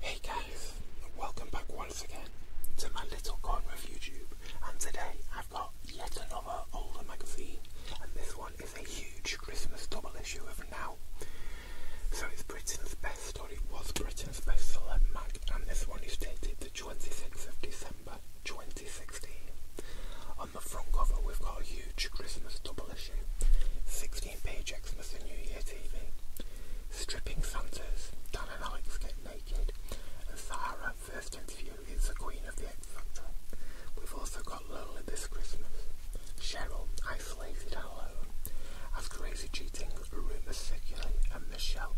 Hey guys, welcome back once again to my little corner of YouTube and today I've got yet another older magazine and this one is a huge Christmas double issue of Now. So it's Britain's best story, was Britain's best celeb mag and this one is dated the 26th of December 2016. On the front cover, we've got a huge Christmas double issue, 16-page Xmas and New Year TV. Stripping Santas, Dan and Alex get naked, and Sahara, first interview, is the queen of the X We've also got Lola this Christmas, Cheryl, isolated and alone, as crazy cheating rumours circulate, and Michelle,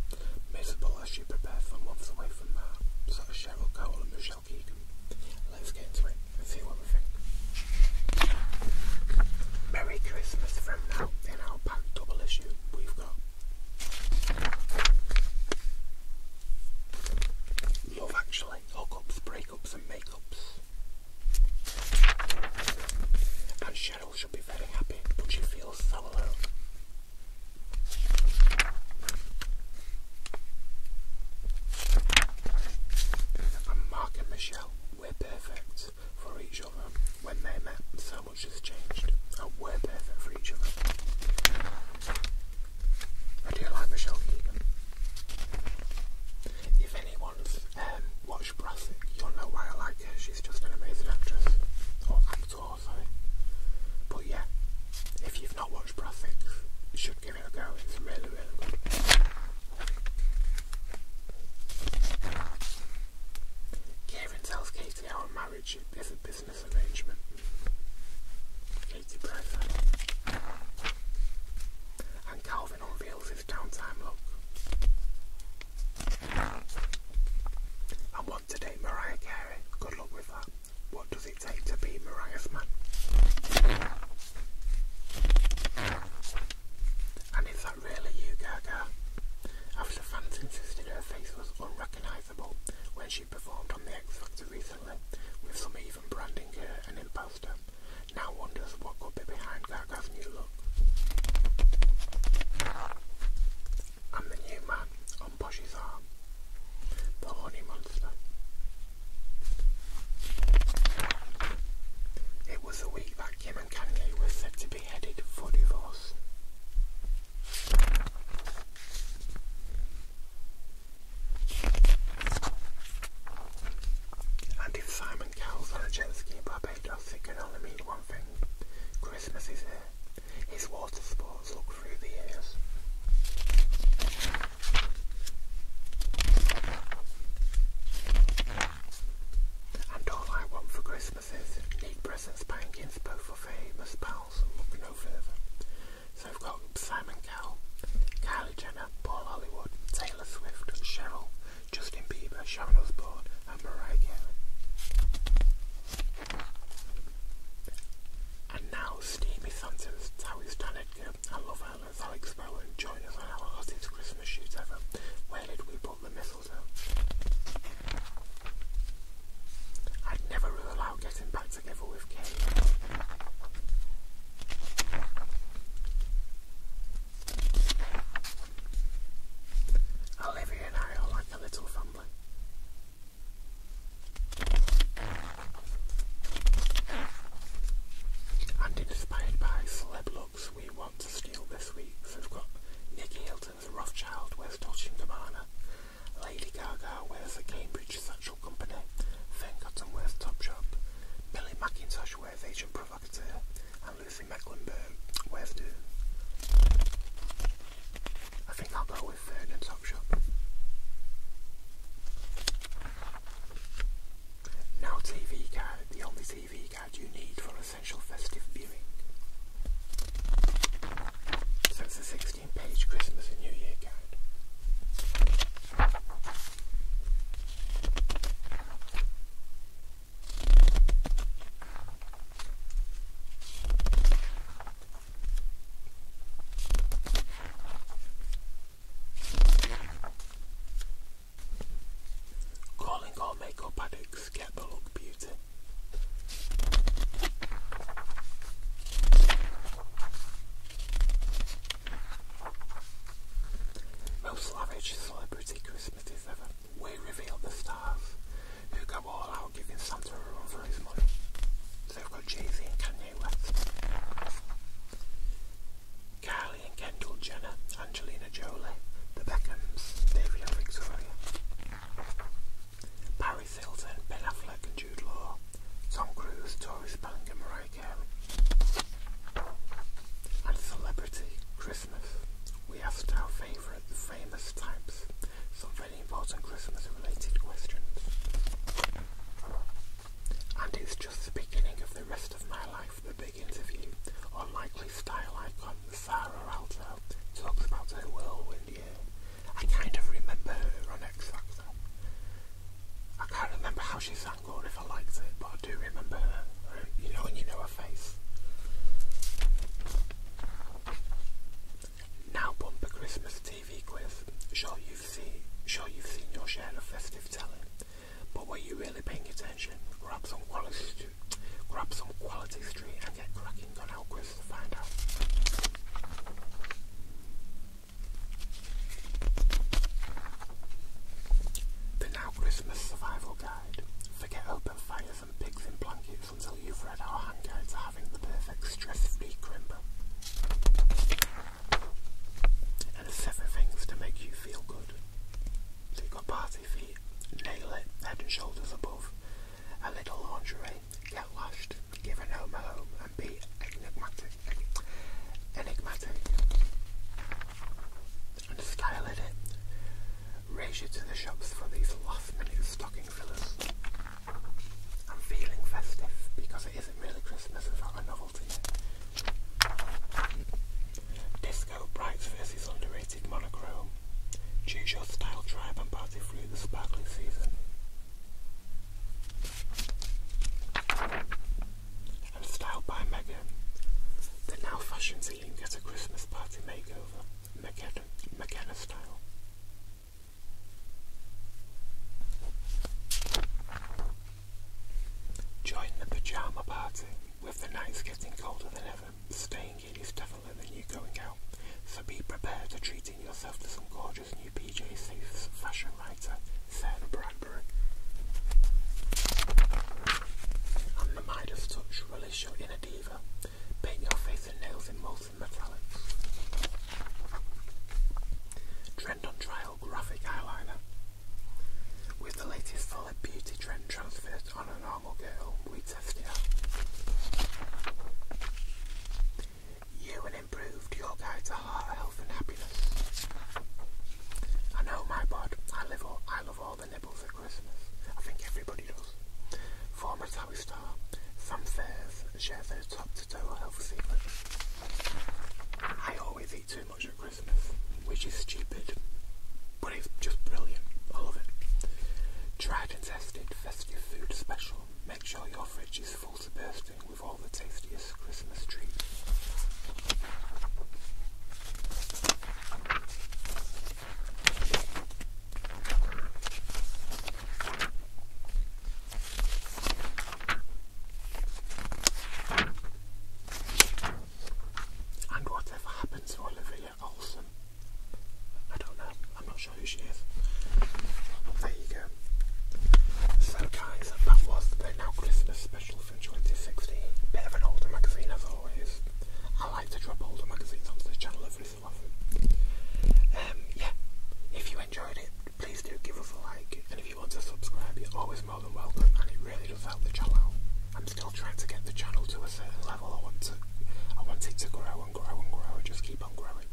miserable as she prepares for months away from that. So Cheryl Cole and Michelle Let's get into it and see what we think. Merry Christmas from now. In our pack double issue, we've got Love Actually, Hookups, Breakups and Makeups. And Cheryl should be very happy, but she feels so alone. And Mark and Michelle were perfect for each other when they met. So much has changed, and we're perfect for each other. I do like Michelle Keegan. If anyone's um, watched Brassic, you'll know why I like her. She's just an amazing actress. Or actor, or something. But yeah, if you've not watched Prophet, should give it a go. It's really, really good. Kevin tells Katie our marriage is a business arrangement. Katie Presser. And Calvin unveils his downtime look. And want to date Mariah Carey. Good luck with that. What does it take to be Mariah's man? And is that really you, Gaga? After fans insisted her face was unrecognisable when she performed on The X Factor recently, with some even branding her an imposter, now wonders what could be behind Gaga's new look. i the new man, the horny monster. It was the week that Kim and Kanye were said to be headed for divorce. And if Simon Cowell's on a jet ski in Barbados, it can only mean one thing. Christmas is here. His water sports look through the years. And all I want for Christmas is neat presents by Ginsbo for famous pals and no further. So I've got Simon Cowell, Kylie Jenner, Paul Hollywood, Taylor Swift, Cheryl, Justin Bieber, Sharon Osbourne and Mariah Carey. And now Steamy Santa's how he's done it I love her. That's Alex Bowen and join us on our hottest Christmas shoot ever. Where did we put the mistletoe? I'd never rule out getting back together with Kate. Olivia and I are like a little family. And inspired by celeb looks we want to steal this week, so we've got Nick Hilton as Rothschild wears Dolce & Gabbana, Lady Gaga wears a Cambridge Satchel Company, Finn Cotton wears Topshop, Billy Mackintosh wears Agent Provocateur, and Lucy Mecklenburg wears Doom. I think I'll go uh, now TV guide, the only TV guide you need for essential festive viewing. So it's a 16 page Christmas and New Year guide. Calling all makeup addicts, get the look beauty. Most lavish celebrity Christmases ever. We reveal the stars who go all out giving Santa a run for his money. So they've got Jay Z and Kanye they and Kendall Jenner, Angelina Jolie, the Beckhams, Davy and Paris Hilton, Ben Affleck and Jude Law, Tom Cruise, Tori Spelling and Mariah Carey. And celebrity Christmas. We asked our favourite, famous types, some very important Christmas related questions. And it's just the beginning of the rest of my life, the big interview. Unlikely style icon Sarah Alto talks about her whirlwind year. I kind of remember her on X Factor. I can't remember how she sang or if I liked it, but I do remember her. You know, and you know her face. Now bumper Christmas TV quiz. Shall you you've sure you've seen your share of festive talent, but were you really paying attention? Grab some quality, street, grab some quality street, and get cracking on Elquist to find out. The Now Christmas Survival Guide. Forget open fires and pigs in blankets until you've read our hand guide having the perfect stress-free crimper and a seven things to make you feel good. So you got party feet, nail it, head and shoulders above, a little lingerie, get lashed, give a gnome a home, and be enigmatic, enigmatic, and style it. Raise you to the shops for these last-minute stocking fillers. I'm feeling festive because it isn't really Christmas without another Disco Brights versus Underrated Monochrome. Choose your style tribe and party through the sparkling season. And by Megan. The now fashion team get a Christmas party makeover, McKenna style. Join the pyjama party. With the nights getting colder than ever, staying in is definitely the new going out, so be prepared to treating yourself to some gorgeous new PJ Safes fashion writer, Sarah Bradbury. And the of Touch, release your inner diva. Paint your face and nails in molten metallics on Trial Graphic Eyeliner. With the latest full beauty trend transfer on a normal girl, we test it out. You and improved your guide to heart health and happiness. I know my bod, I live I love all the nibbles at Christmas. I think everybody does. Former Towie star, Some Fairs share their top I always eat too much at Christmas, which is stupid, but it's just brilliant. love it. Tried and tested festive food special. Make sure your fridge is full to bursting with all the tastiest Christmas treats. And whatever happened to Olivia Olsen? I don't know. I'm not sure who she is. there you go. So guys, that was the Now Christmas special for 2016. Bit of an older magazine as always. I like to drop older magazines onto the channel every so often. Um, yeah, if you enjoyed it, please do give us a like you want to subscribe, you're always more than welcome, and it really does help the channel. I'm still trying to get the channel to a certain level. I want to, I want it to grow and grow and grow, and just keep on growing.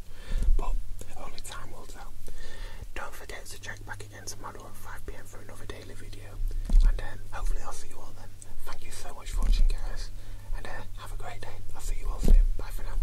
But only time will tell. Don't forget to check back again tomorrow at 5 pm for another daily video, and uh, hopefully I'll see you all then. Thank you so much for watching, guys, and uh, have a great day. I'll see you all soon. Bye for now.